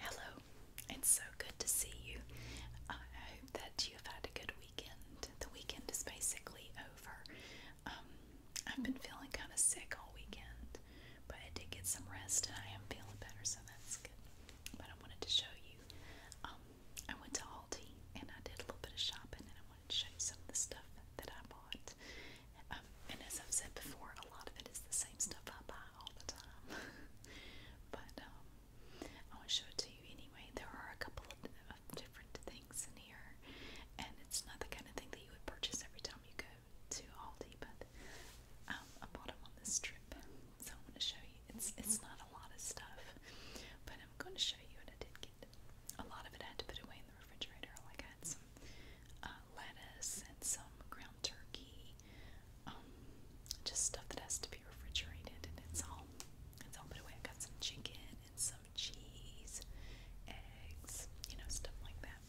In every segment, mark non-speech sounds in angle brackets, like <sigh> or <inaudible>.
Hello, it's so good to see you. I hope that you have had a good weekend. The weekend is basically over. Um, I've been feeling kind of sick all weekend, but I did get some rest and I am feeling better, so that's good. But I wanted to show you. Um, I went to Aldi and I did a little bit of shopping and I wanted to show you some of the stuff that I bought. Um, and as I've said before, a lot of it is the same stuff I buy all the time. <laughs> but um, I want to show it to you anyway. There are a couple of, of different things in here, and it's not the kind of thing that you would purchase every time you go to Aldi, but um, I bought them on this trip, so I want to show you. It's it's not a lot of stuff, but I'm going to show you what I did get. A lot of it I had to put away in the refrigerator, like I had some. Uh, lettuce and some ground turkey. Um, just stuff that has to be refrigerated, and it's all it's all put away. I've got some chicken and some cheese, eggs, you know, stuff like that.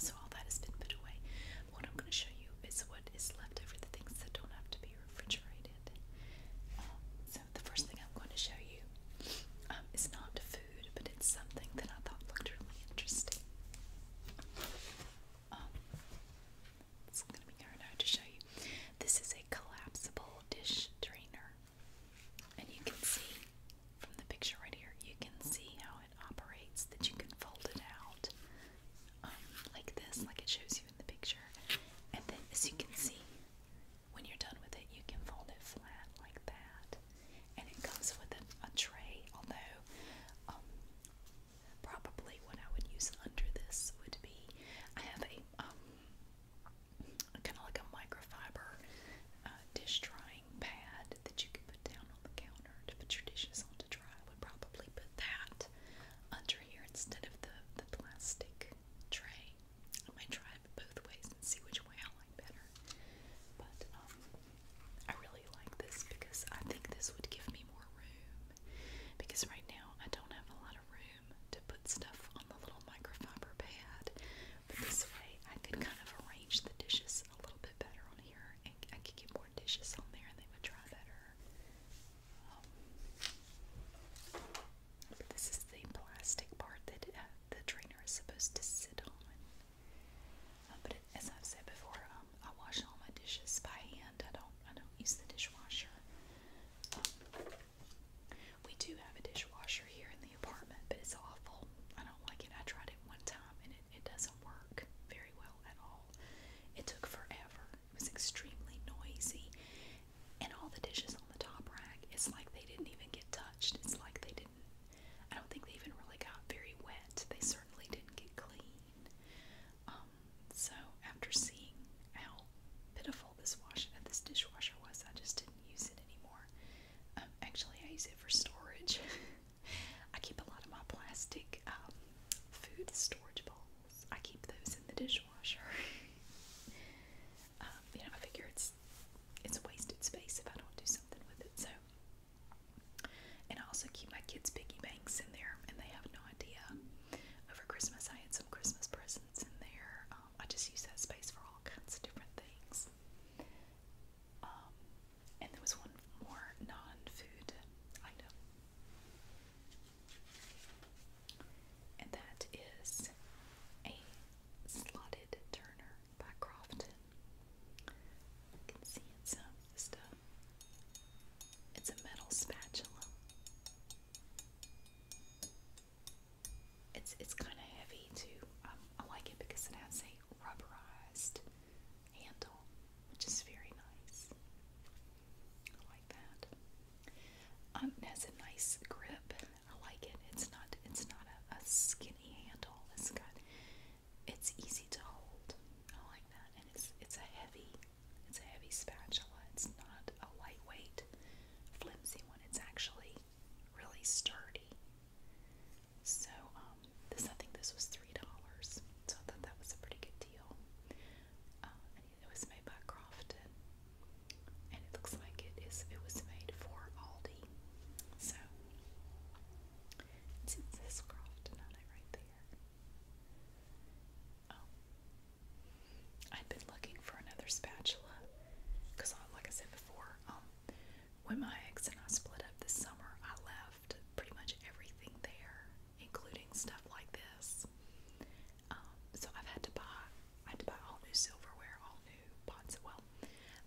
So all that has been put away. But what I'm going to show you is what is left over, the things that don't have to be refrigerated. Um, so the first thing I'm going to show you um, is not food but it's something that I thought looked really interesting. Um, it's gonna be hard now to show you. This is a collapsible dish drainer, and you can see from the picture right here, you can see how it operates. That you can fold it out um, like this, like it shows you in the picture, and then as you can see, when you're done with it, you can fold it flat like that. And it comes with a, tray, although um, probably what I would use under this would be I have a um, kind of like a microfiber uh, dish drying pad that you could put down on the counter to put your dishes on to dry. I would probably put that under here instead of the, the plastic tray. I might try it both ways and see which way I like. But um, I really like this because I think this would give me more room. Because right now I don't have a lot of room to put stuff on the little microfiber pad. But this way I could kind of arrange the dishes a little bit better on here, and I could get more dishes on there, and they would dry better. Um, this is the plastic part that uh, the trainer is supposed to sit on. Um, but as I've said before, um, I wash all my dishes by hand. I don't I don't use the dishwasher. Um, we do have a dishwasher here in the apartment, but it's awful. I don't like it. I tried it one time and it, it doesn't work very well at all. It took forever. It was extremely noisy. And all the dishes on the top rack, it's like they didn't even get touched. It's like they didn't I don't think they even really got very wet. They certainly didn't get clean. Um, so after seeing how pitiful this wash uh, this dishwasher was, I just didn't use it anymore. Um, actually, I use it for storage. <laughs> I keep a lot of my plastic um, food storage bowls. I keep those in the dishwasher. <laughs> you know, I figure it's it's wasted space if I don't do something with it. So and I also keep my kids' piggy banks in there, and they have no idea. Over Christmas, I had some Christmas presents in there. Um, I just use that space for all kinds of different things. Um, and there was one more non-food item, and that is a slotted turner by Crofton. You can see it's um, a, it's a metal spatula. It's it's kind of heavy too. Um, I like it because it has a rubberized handle, which is very nice. I like that. Um, it has a nice grip. I like it. It's not it's not a, a skinny handle. It's got it's easy to hold. I like that, and it's it's a heavy, it's a heavy spatula. It's not a lightweight, flimsy one. It's actually really sturdy. So um, this I think this was three dollars. So I thought that was a pretty good deal. Uh, it was made by Crofton, and it looks like it is. It was made for Aldi. So it's this Croft, not it right there. Oh. I've been looking for another spatula because, like I said before, um, when my ex and I split up this summer, I left pretty much everything there, including stuff like this. Um, so I've had to buy, I had to buy all new silverware, all new pots. Well,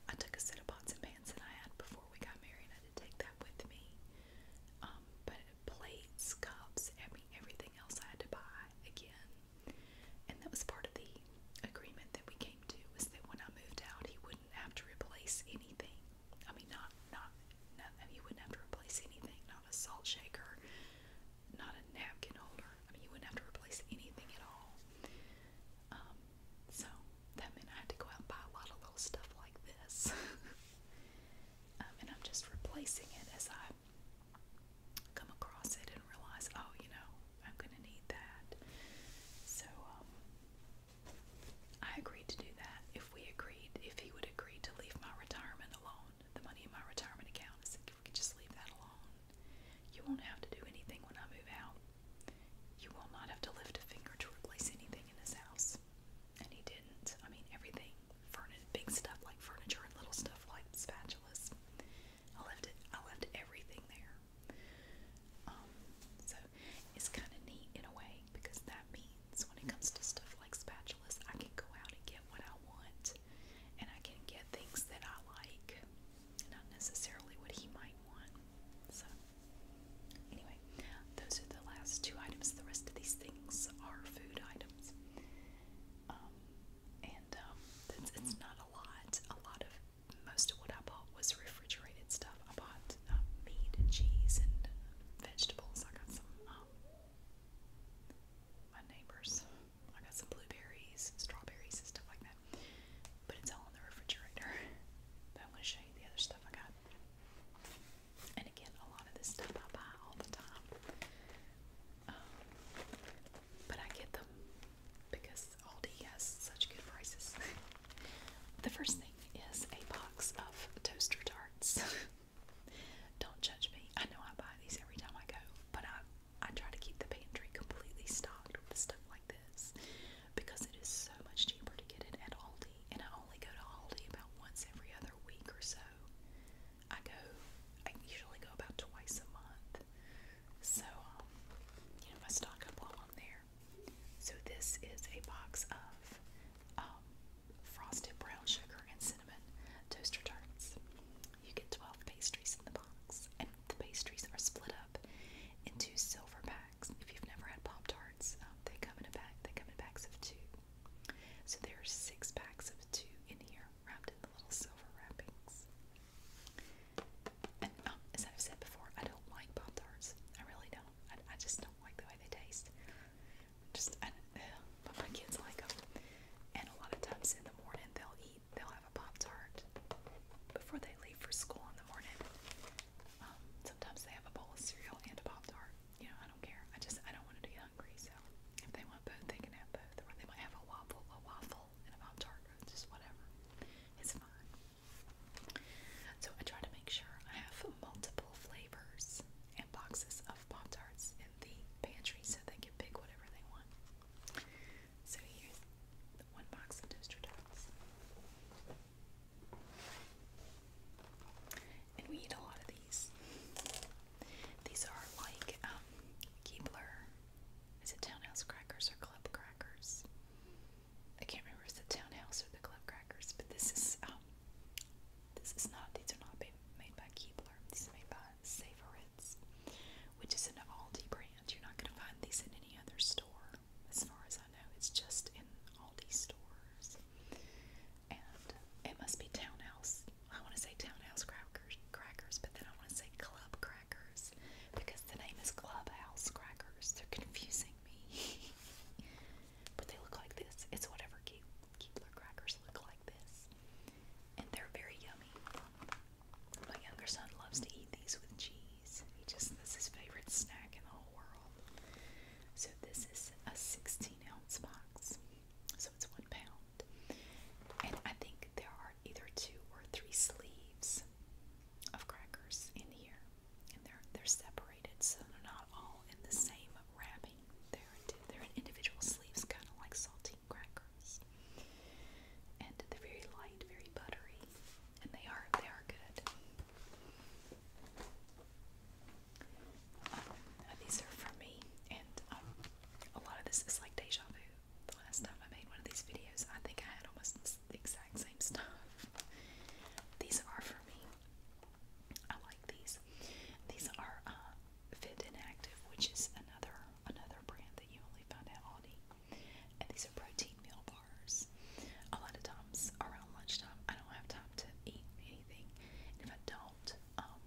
I took a set of pots and pans that I had before we got married. and I had to take them with me. Um, but plates, cups, I mean everything else I had to buy again. And that was part of the agreement that we came to was that when I moved out, he wouldn't have to replace anything. I mean, not not not he wouldn't have to replace anything. Not a salt shaker, not a napkin holder. I mean, he wouldn't have to replace anything at all. Um, so that meant I had to go out and buy a lot of little stuff like this. <laughs> um, and I'm just replacing it as I come across it and realize, oh, you know, I'm going to need that. So um, I agreed to do that if we agreed, if he would agree to leave my retirement alone, the money in my retirement account. I said, if we could just leave that alone, you won't have to do anything when I move out. You will not have to lift a finger to replace anything in this house. And he didn't. I mean, everything. Furniture, big stuff like furniture and little stuff like spatulas. I left it. I left everything there. Um, so it's kind of neat in a way because that means when it comes to stuff like spatulas, I can go out and get what I want, and I can get things that I like, not necessarily what he might want. So Anyway, those are the last two items. The rest of these things are food items. Um, and um, it's, it's not a lot. A lot of most of what I bought was refrigerated stuff. I bought uh, meat and cheese and vegetables. I got some. Um, my neighbors. I got some blueberries, strawberries, and stuff like that. But it's all in the refrigerator. <laughs> But I'm going to show you the other stuff I got. And again, a lot of this stuff I buy all the time. Um, but I get them because Aldi has such good prices. <laughs> the first thing is a box of toaster tarts. <laughs> Don't judge me. I know I buy these every time I go, but I I try to keep the pantry completely stocked with stuff like this because it is so much cheaper to get it at Aldi, and I only go to Aldi about once every other week or so. I go, I usually go about twice a month, so um, you know I stock up while I'm there. So this is a box of um, frosted brown sugar and cinnamon toaster tarts. You get 12 pastries in the box, and the pastries are split up into silver packs. If you've never had Pop Tarts, um, they come in a bag. They come in bags of two. So there are six packs of two in here, wrapped in the little silver wrappings. And um, as I've said before, I don't like Pop Tarts. I really don't. I, just don't like the way they taste. Just, I, uh, but my kids like them. And a lot of times in the morning, they'll eat. They'll have a Pop Tart before they leave leave for school in the morning, um, sometimes they have a bowl of cereal and a Pop Tart. You know, I don't care. I just, I don't want them to get hungry. So if they want both, they can have both. Or they might have a waffle, a waffle and a Pop Tart, or just whatever. It's fine. So I try to make sure I have multiple flavors and boxes of Pop Tarts in the pantry so they can pick whatever they want. So here's one box of toaster tots. And we eat a lot of these. These are like um, Keebler. Is it Townhouse Crackers or Club Crackers? I can't remember if it's Townhouse or the Club Crackers, but this is um, this is not. These are not made by Keebler. These are made by Savoritz, which is an Aldi brand. You're not going to find these in any other store as far as I know. It's just in Aldi stores. And it must be Townhouse. I want to say Townhouse crackers, crackers, but then I want to say Club Crackers because the name is Clubhouse Crackers. They're confusing me. <laughs> but they look like this. It's whatever Keebler crackers look like this. And they're very yummy. My younger son loves to eat these with cheese cheese. He just that's his favorite snack in the whole world. So this is a 16 ounce box. So it's one pound. And I think there are either two or three sleeves of crackers in here. And they're they're separated so they're not all in the same wrapping. They're in, they're in individual sleeves, kinda like saltine crackers. And they're very light, very buttery. And they are they are good. Uh, these are for me, and um, a lot of this is like deja vu. The last time I made one of these videos, I think I had almost the exact same stuff. <laughs> These are for me. I like these. These are uh, Fit and Active, which is another another brand that you only find at Aldi. And these are protein meal bars a lot of times around lunchtime. I don't have time to eat anything. if I don't, um,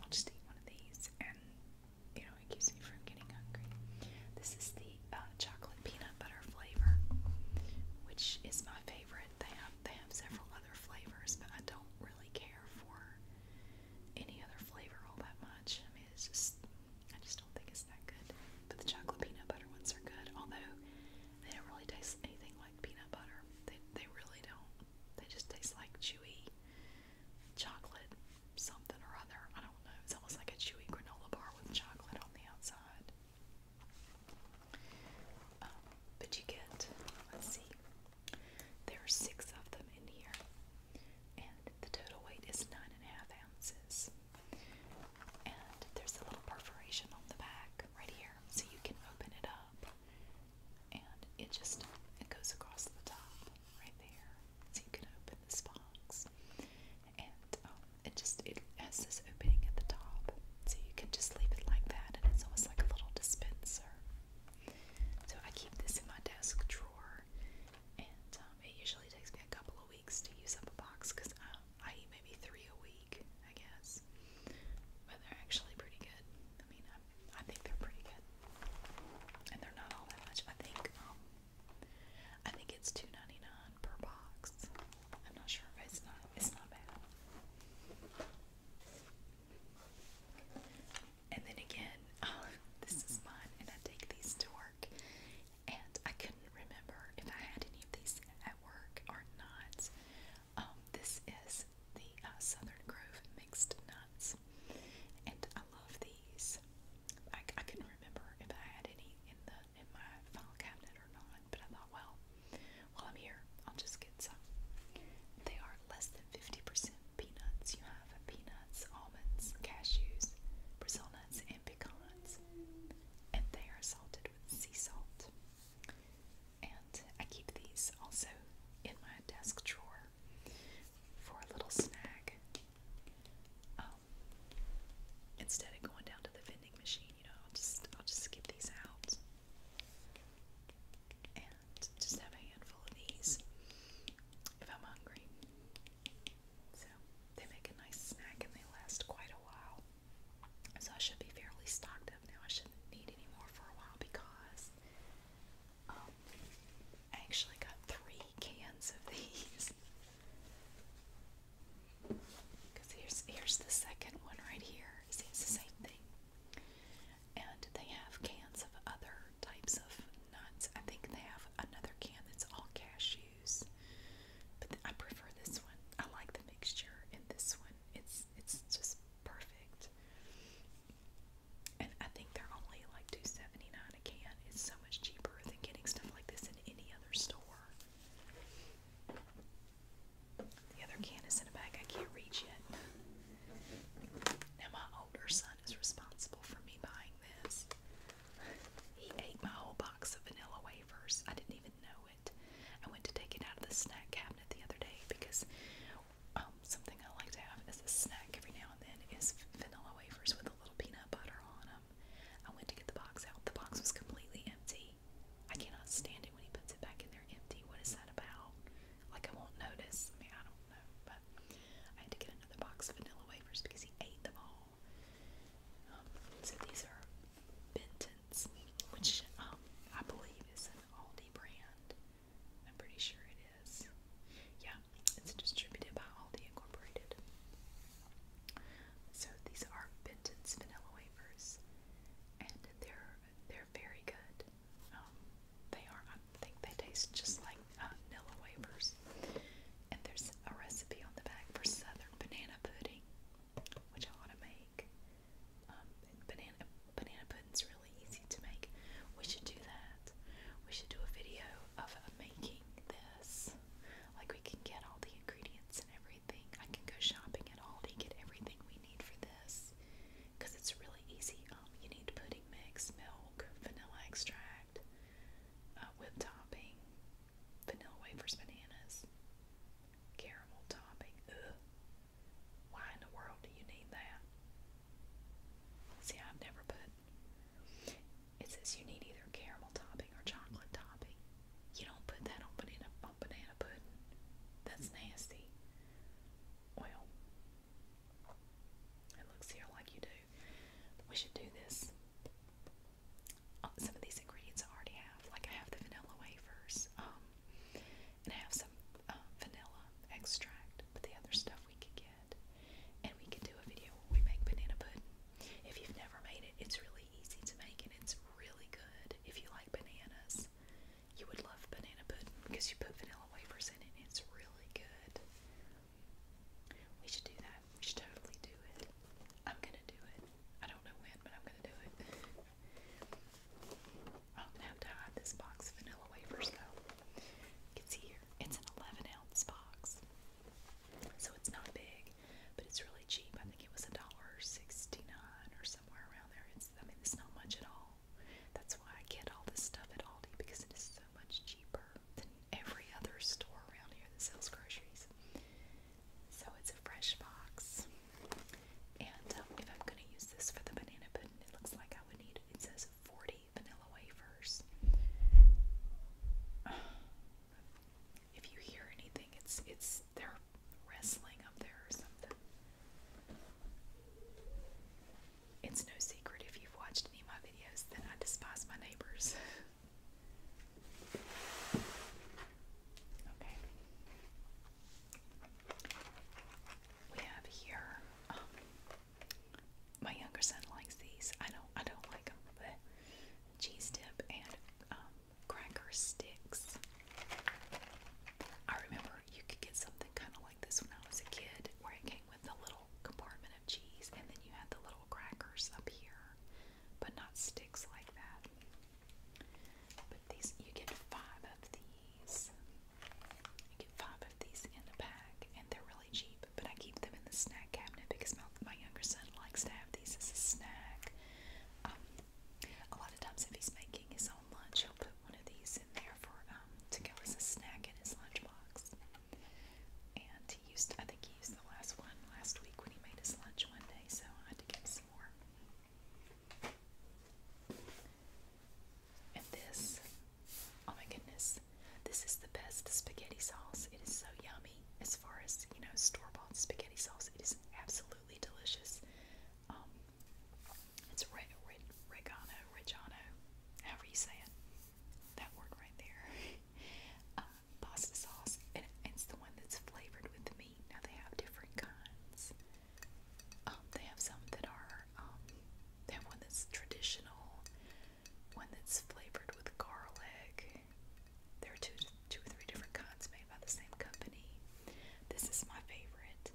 I'll just eat one of these and you know, it keeps me from getting hungry. This is the uh, chocolate peanut butter flavor, which is my favorite. They have they have several other flavors, but I don't really care for any other flavor all that much. I mean, it's just I just don't think it's that good. But the chocolate peanut butter ones are good. Although they don't really taste anything like peanut butter. They they really don't. They just taste like chewy chocolate something or other. I don't know. It's almost like a chewy granola bar with chocolate on the outside. Um, but you get, let's see, there are six of them in here, and the total weight is nine and a half ounces. And there's a little perforation on the back right here, so you can open it up. And it just it goes across the top right there, so you can open this box. And um, it just it has this opening at the top, so you can just leave it like that, and it's almost like a little dispenser. So I keep this in my desk drawer, and um, it usually takes me a couple of weeks to use up a box because I, um, I eat maybe three a week. I guess. But they're actually pretty good. I mean, I, think they're pretty good, and they're not all that much. I think, um, I think it's two ninety nine per box. I'm not sure. It's not. It's not bad. And then again, <laughs> this is mine, and I take these to work and I couldn't remember if I had any of these at work or not. Um, this is the uh, Southern Grove Mixed Nuts, and I love these. I, I couldn't remember if I had any in the in my file cabinet or not, but I thought, well, while I'm here, I'll just get some. They are less than 50% peanuts. You have peanuts, almonds, cashews, Brazil nuts, and pecans. And they are salted sea salt. And I keep these also in my desk drawer for a little snack. Um, instead of going down to the vending machine, you know, I'll just I'll just skip these out and just have a handful of these if I'm hungry. So they make a nice snack and they last quite a while. So I should be fairly stocked up now. I shouldn't need any more for a while because um, I actually got three cans of these. Because <laughs> here's here's the second one right here. See, it's the same thing. And they have cans of other types of nuts. I think they have another can that's all cashew use. But I prefer this one. I like the mixture in this one. It's it's just perfect. And I think they're only like two seventy nine a can. It's so much cheaper than getting stuff like this in any other store. The other can is in a bag I can't reach yet. Now my older son is responsible for me buying this. He ate my whole box of vanilla wafers. I didn't even know it. I went to take it out of the snack cabinet the other day because um, something I like to have as a snack every now and then is vanilla wafers with a little peanut butter on them. I went to get the box out. The box was completely empty. I cannot stand it when he puts it back in there empty. What is that about? Like, I won't notice. I mean, I don't know. But I had to get another box of vanilla wafers because he ate them all. Um, so these are Benton's, which um, I believe is an Aldi brand. I'm pretty sure it is. Yeah, it's distributed by Aldi Incorporated. So these are Benton's vanilla wafers, and they're they're very good. Um, they are. I think they taste just like uh, vanilla wafers. And there's a recipe on the back for southern banana pudding which I want to make. Um, banana banana pudding's really easy to make. We should do that. We should do a video of making this. Like we can get all the ingredients and everything. I can go shopping at Aldi, get everything we need for this, because it's really easy. Um, you need pudding mix, milk, vanilla extract, uh, whipped topping, vanilla wafers, bananas, caramel topping. Ugh. Why in the world do you need that? See, I've never put. It says you need either caramel topping or chocolate topping. You don't put that on banana on banana pudding. That's nasty. Well, it looks here like you do. We should do this some of these ingredients I already have. Like I have the vanilla wafers, um, and I have some uh, vanilla extract, but the other stuff we could get. And we can do a video where we make banana pudding. If you've never made it, it's really easy to make and it's really good. If you like bananas, you would love banana pudding because you put vanilla wafers in it and it's really good. We should do that. We should totally do it. I'm gonna do it. I don't know when, but I'm gonna do it. Oh, now to hide this box of vanilla wafers though. It's here. It's an 11 ounce box, so it's not big, but it's really cheap. I think it was a dollar sixty-nine or somewhere around there. It's I mean it's not much at all. That's why I get all this stuff at Aldi because it is so much cheaper than every other store around here that sells groceries. So it's a fresh box. And um, if I'm going to use this for the banana pudding, it looks like I would need, it says 40 vanilla wafers. <sighs> If you hear anything, it's, it's, they're wrestling up there or something. It's no secret if you've watched any of my videos that I despise my neighbors. <laughs> Okay. We have here. Um, my younger son likes these. I don't. I don't like them. But cheese dip and um, cracker sticks. I remember you could get something kind of like this when I was a kid, where it came with the little compartment of cheese, and then you had the little crackers up here but not sticks like that. But these, you get five of these. You get five of these in a pack, and they're really cheap. But I keep them in the snack cabinet because my, my younger son likes to have these as a snack. Um, a lot of times, if he's making his own lunch, he'll put one of these in there for um, to go as a snack in his lunchbox. And he used, I think he used the last one last week when he made his lunch one day, so I had to give him some and this, oh my goodness, this is the best spaghetti sauce. It is so yummy. As far as, you know, store bought spaghetti sauce, it is absolutely delicious. Um, it's red, red, Regano, Regano, however you say it. That word right there. <laughs> Um, pasta sauce, and it's the one that's flavored with the meat. Now they have different kinds. Um, they have some that are um, they have one that's traditional, one that's flavored with garlic. There are two, two or three different kinds made by the same company. This is my favorite,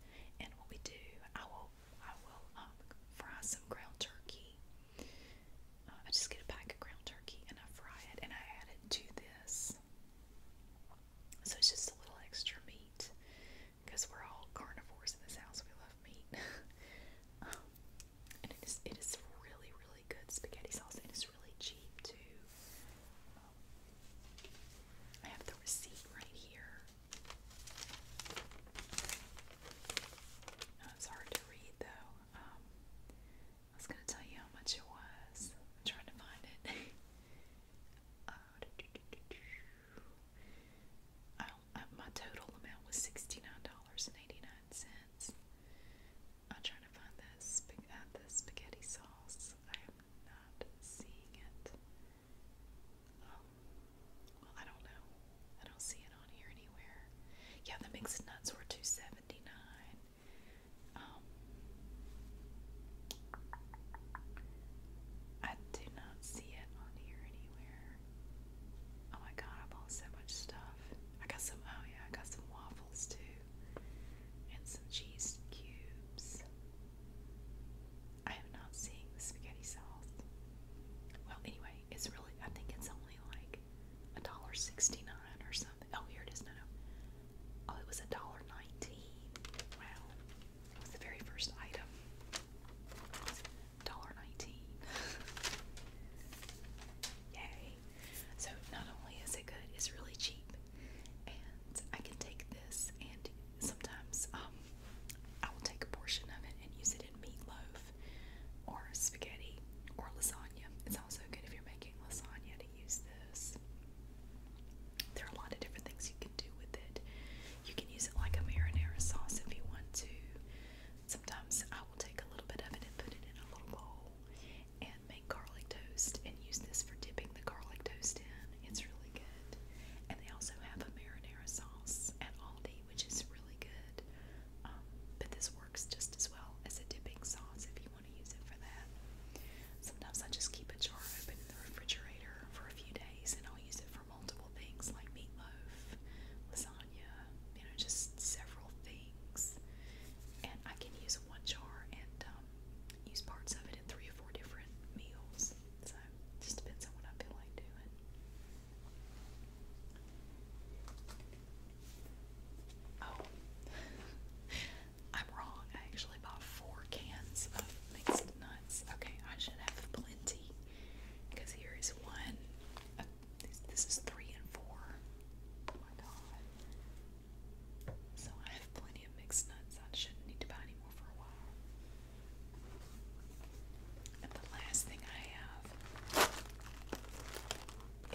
and what we do, I will, I will um, fry some ground turkey. Uh, I just get a pack of ground turkey and I fry it, and I add it to this so it's just a little extra meat because we're all carnivores in this house. We love meat. <laughs> um, and it is, it is really, really good spaghetti sauce and it's really cheap too. Um, I have the receipt right here. No, uh, it's hard to read though. Um, I was gonna tell you how much it was. I'm trying to find it. <laughs> Uh, uh, my total amount was sixty nine dollars and eighty nine cents. I'm trying to find this uh, the spaghetti sauce. I am not seeing it. Um, well, I don't know. I don't see it on here anywhere. Yeah, the mixed nuts were two seventy nine. Um, I do not see it on here anywhere. Oh my god, I bought so much stuff. I got some, oh yeah, I got some waffles too. And some cheese cubes. I am not seeing the spaghetti sauce. Well, anyway, it's really, I think it's only like $1.69 or something. Oh, here it is. No, no. Oh, it was a dollar nineteen. Wow, it was the very first item. Dollar nineteen. <laughs> Yay! So not only is it good, it's really cheap, and I can take this and sometimes um, I will take a portion of it and use it in meatloaf or spaghetti or lasagna. It's also good if you're making lasagna to use this. There are a lot of different things you can do with it. You can use it like a marinara sauce if you want to. Sometimes I will take a little bit of it and put it in a little bowl and make garlic toast and use this for dipping the garlic toast in. It's really good. And they also have a marinara sauce at Aldi, which is really good. Um, but this works just as well as a dipping sauce if you you want to use it for that. Sometimes I just keep a jar open in the refrigerator for a few days and I'll use it for multiple things like meatloaf, lasagna, you know, just several things. And I can use one jar and um, use parts of it in three or four different meals. So it just depends on what I feel like doing. Oh, <laughs> I'm wrong. I actually bought four cans of mixed nuts. Okay, I should have plenty. Because here is one. Uh, this, is three and four. Oh my god. So I have plenty of mixed nuts. I shouldn't need to buy any more for a while. And the last thing I have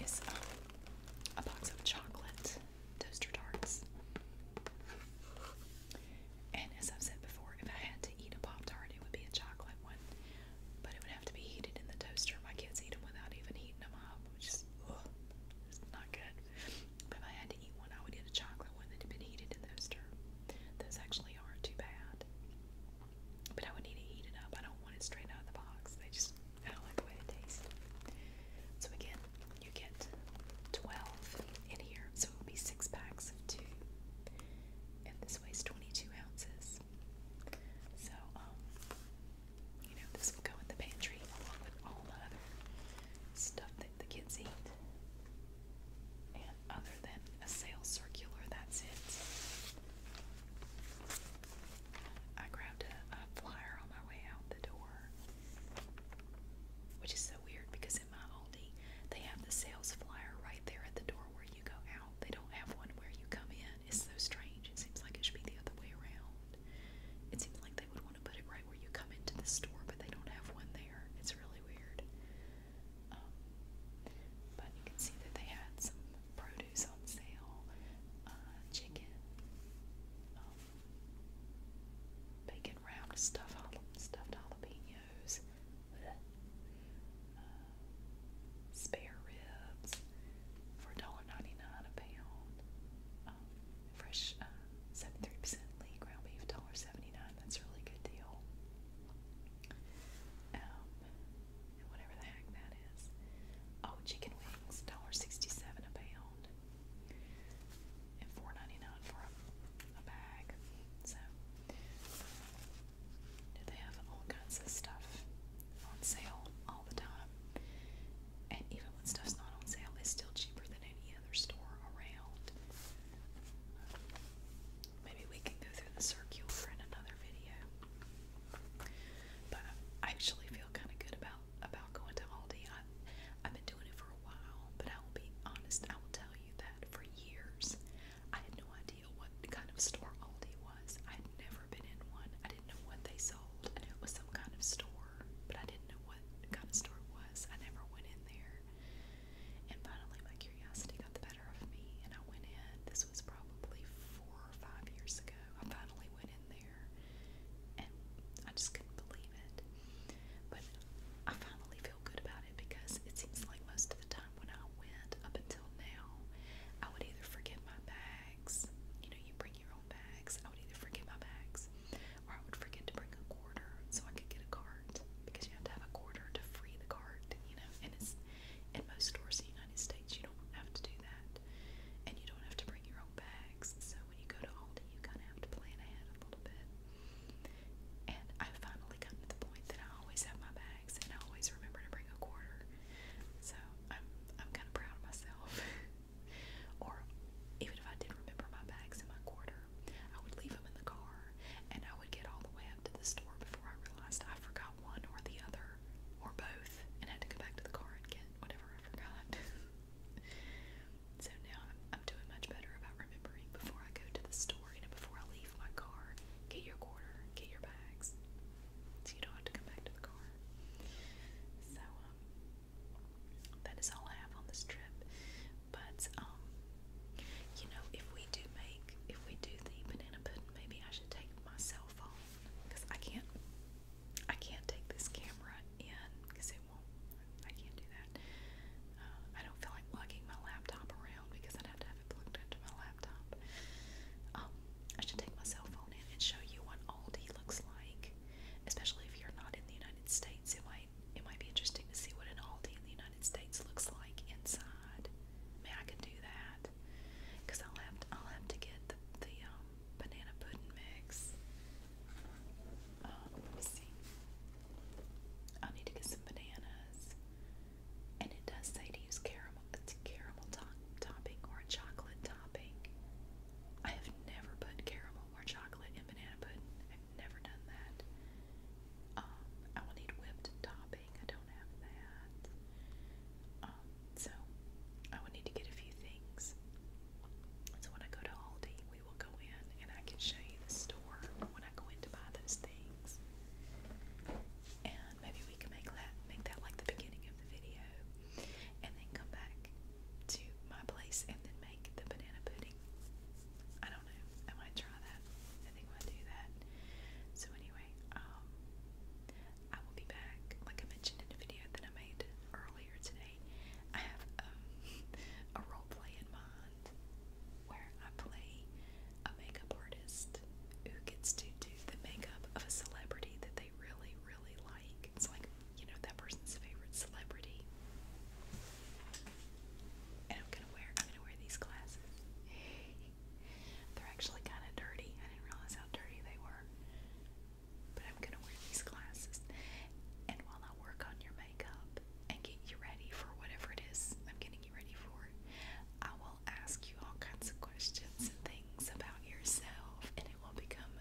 is um, a box of chocolate toaster tarts. And as I've said before, if I had to eat a Pop Tart, it would be a chocolate one. But it would have to be heated in the toaster. My kids eat them without even heating them up, which is ugh, it's not good. But if I had to eat one, I would get a chocolate one that had been heated in the toaster. Those actually aren't too bad. But I would need to heat it up. I don't want it straight out of the box. They just so again, you get 12 in here, so it would be six packs of two. And this weighs 22 ounces. So, um, you know, this will go in the pantry along with all the other stuff that the kids eat. And other than a sales circular, that's it. I grabbed a, flyer on my way out the door, which is so weird because in my Aldi, they have the sales flyer right there at the door where you go out. They don't have one where you come in. It's so strange. It seems like it should be the other way around. It seems like they would want to put it right where you come into the store, but they don't have one there. It's really weird. Um, but you can see that they had some produce on sale, uh, chicken, um, Bacon round stuffed, stuffed jalapenos. Uh, spare ribs for $1.99 a pound. Um, fresh 73% uh, lean ground beef, $1.79. That's really good deal. and um, whatever the heck that is. Oh, chicken wings, $1.67 a pound and four ninety nine for a, a bag. So they have all kinds of stuff on sale all the time. And even when stuff's not on sale, it's still cheaper than any other store around. Um, maybe we can go through the circular in another video. But I actually feel kind of good about about going to Aldi. I, I've been doing it for a while, but I will be honest, I will tell you that for years I had no idea what kind of store Aldi was. I had never been in one. I didn't know what they sold. I knew it was some kind of store, but I didn't know what kind of store it was. I never went in there. And finally, my curiosity got the better of me, and I went in. This was probably four or five years ago. I finally went in there. And I just couldn't believe it. But I finally feel good about it because it seems like most of the time when I went up until now, I would either forget my bags. You know, you bring your own bags. I would either forget my bags or I would forget to bring a quarter so I could get a cart because you have to have a quarter to free the cart, you know. And it's in most stores in the United States, you don't have to do that. And you don't have to bring your own bags. So when you go to Aldi, you kind of have to plan ahead a little bit. And I've finally gotten to the point that I always have my bags and I always remember to bring a quarter. So I'm I'm kind of proud of myself. <laughs> or even if I did remember my bags and my quarter, I would leave them in the car and I would get all the way up to the store before I realized I forgot one or the other or both and had to go back to the car and get whatever I forgot. <laughs> So now I'm, I'm doing much better about remembering before I go to the store, you before I leave my car, get your quarter, get your bags, so you don't have to come back to the car. So, um, that is all I have on this trip. But, um, you know, if we do make, if we do the banana pudding, maybe I should take my cell phone because I can't I can't take this camera in because it won't. I can't do that. Uh, I don't feel like lugging my laptop around because I'd have to have it plugged into my laptop. Um, I should take my cell phone in and show you what Aldi looks like, especially if you're not in the United States. It might it might be interesting to see what an Aldi in the United States looks like inside. I I could do that because I'll have I'll have to get the the um, banana pudding mix. Um, let me see. I'll need to get some bananas. And it does say to use caramel, caramel topping or chocolate topping. I have never put caramel or chocolate in banana pudding. never done that. Um, I will need whipped topping. I don't have that. Um, so I will need to get a few things. So when I go to Aldi, we will go in and I can show you the store when I go in to buy those things. And maybe we can make that make that like the beginning of the video. And then come back to my place and then make the banana pudding. I don't know. I might try that. I think I'll do that. So anyway, um, I will be back. Like I mentioned in a video that I made earlier today. I have um, <laughs> a role play in mind where I play a makeup artist who gets to do the makeup of a celebrity that they really, really like. It's like, you know, that person's favorite celebrity. And I'm gonna wear I'm gonna wear these glasses. <laughs> They're actually kinda dirty. I didn't realize how dirty they were but I'm gonna wear these glasses. And while I work on your makeup and get you ready for whatever it is I'm getting you ready for, I will ask you all kinds of questions and things about yourself, and it will become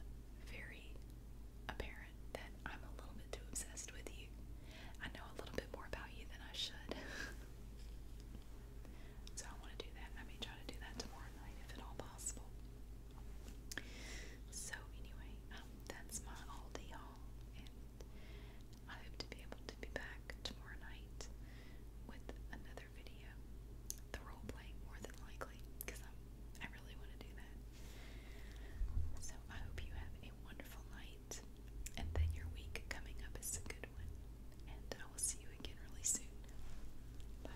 very apparent that I'm a little bit too obsessed with you. I know a little bit more about you than I should. <laughs> so I want to do that. I may try to do that tomorrow night if at all possible. So anyway, um, that's my all y'all, and I hope to be able to be back tomorrow night with another video. The role more than likely, because I really want to do that. So I hope you have a wonderful night, and that your week coming up is a good one. And I will see you again really soon. Bye.